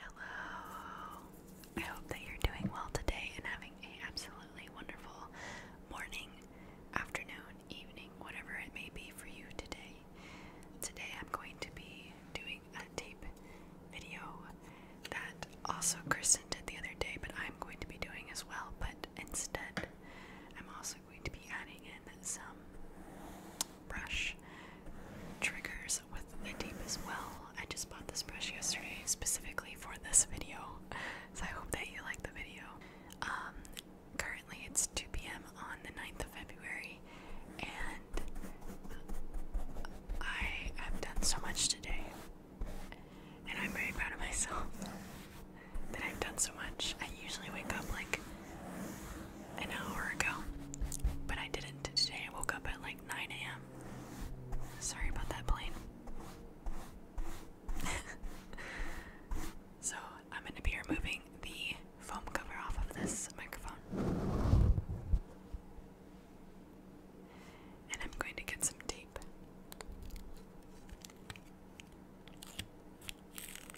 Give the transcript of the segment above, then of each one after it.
Hello. I hope that you're doing well today and having a absolutely wonderful morning, afternoon, evening, whatever it may be for you today. Today I'm going to be doing a tape video that also Kristen did the other day, but I'm going to be doing as well, but instead I'm also going to be adding in some brush triggers with the deep as well. I just bought this brush yesterday specifically for this video, so I hope that you like the video. Um, currently it's 2 p.m. on the 9th of February, and I have done so much today, and I'm very proud of myself that I've done so much. I usually wake up like an hour ago, but I didn't today. I woke up at like 9 a.m. Sorry about that plane. so I'm going to be removing the foam cover off of this microphone. And I'm going to get some tape.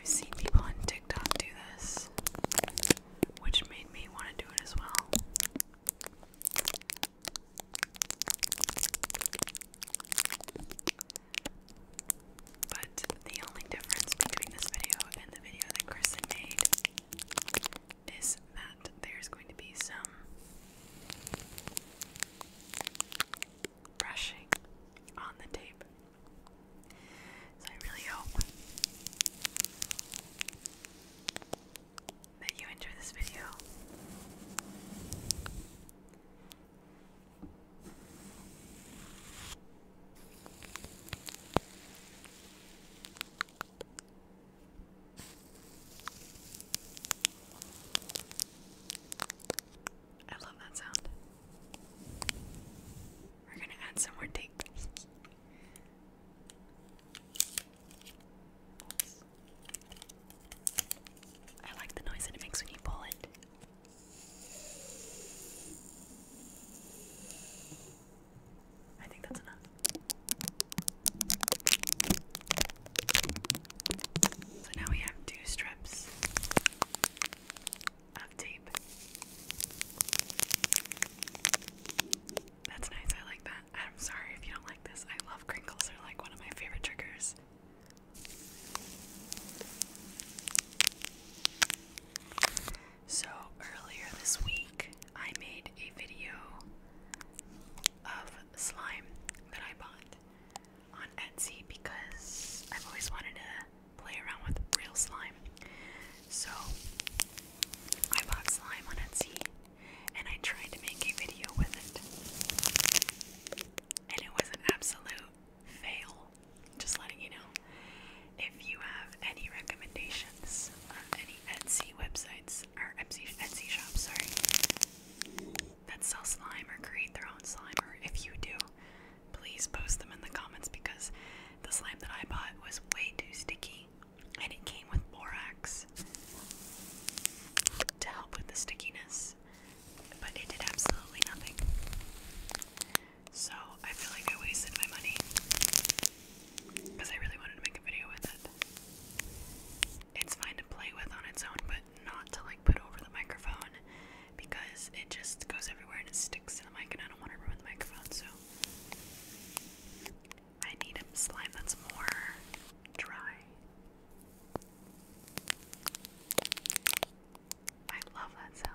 I've seen people on TikTok do this, which made me want to do it as well. But the only difference between this video and the video that Kristen made is that there's going to be some brushing on the tape. So I really hope that you enjoy this video. I love that sound. We're gonna add some more tape. I like the noise that it makes when you pull it. I think that's enough. So now we have two strips of tape. That's nice, I like that. I'm sorry if you don't like this. I love crinkles. They're like one of my favorite triggers. So earlier this week, I made a video of slime that I bought on Etsy because I've always wanted to play around with real slime. So I bought slime on Etsy and I tried to make a video with it. And it was an absolute fail. Just letting you know. If you have any recommendations on uh, any Etsy websites or Etsy, Etsy shops, sorry, that sell slime or create their own slime, or if you do, please post them in the comments because the slime that I bought was way too sticky and it came with borax to help with the stickiness, but it did absolutely nothing. So I feel like I wasted my money because I really wanted to make a video with it. It's fine to play with on its own, but not to like put over the microphone because it just goes everywhere and it sticks to the mic, and I don't want to ruin the microphone. So I need a slime that's more dry. I love that sound.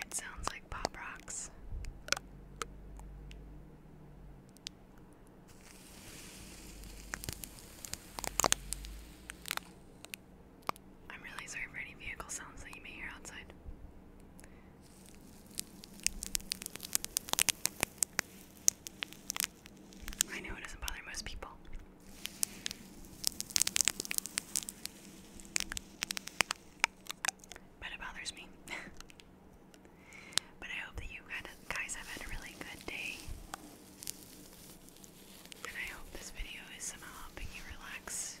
It sounds like pop rocks. I'm really sorry for any vehicle sounds that you may hear outside. I know it doesn't bother most people. But it bothers me. but I hope that you guys have had a really good day. And I hope this video is somehow helping you relax.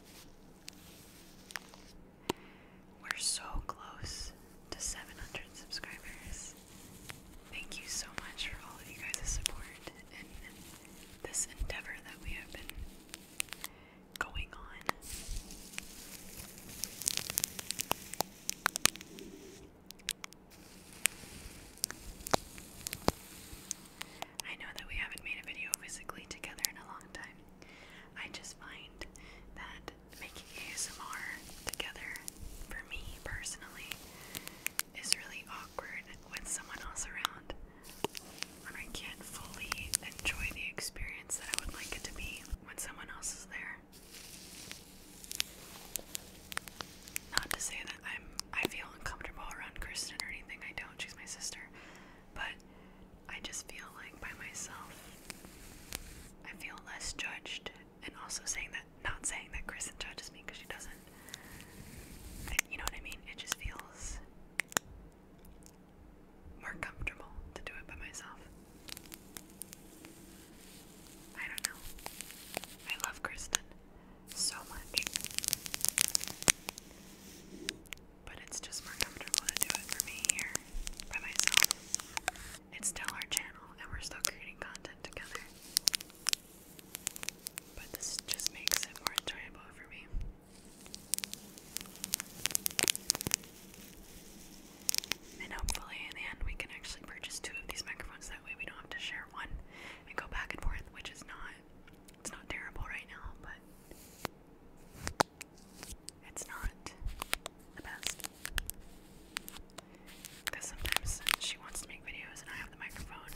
We're so close to 700 subscribers. Thank you so much for all of you guys' support this endeavor that we have been going on. I know that we haven't made a video physically together in a long time. I just find that making ASMR together, for me personally, is really awkward with someone else around when I can't fully enjoy the experience that I would like it to be when someone else is there. Not to say that I'm I feel uncomfortable around Kristen or anything, I don't, she's my sister. But I just feel like by myself I feel less judged and also saying that not saying that Kristen judges me because she doesn't. You know what I mean? It just feels more comfortable to do it by myself. I don't know. I love Kristen so much. But it's just more comfortable to do it for me here by myself. It's still our channel and we're still creating content together. But this just makes it more enjoyable for me. And hopefully, in the end, we can actually purchase two of these microphones. That way, we don't have to share one and go back and forth, which is not, it's not terrible right now, but it's not the best. Because sometimes she wants to make videos and I have the microphone.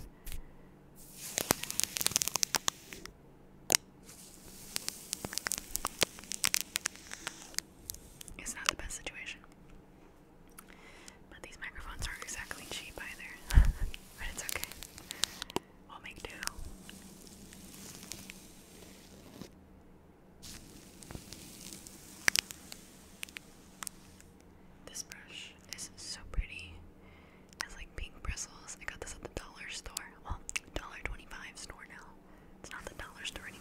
It's not the best situation. But these microphones aren't exactly cheap either. but it's okay. We'll make do. This brush is so pretty. It has like pink bristles. I got this at the dollar store. Well, dollar twenty-five store now. It's not the dollar store anymore.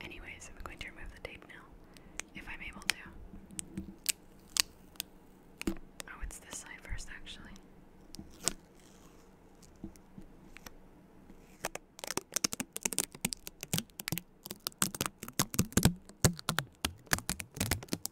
Anyways, I'm going to remove the tape now, if I'm able to. Oh, it's this side first, actually.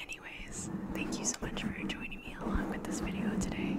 Anyways, thank you so much for joining me along with this video today.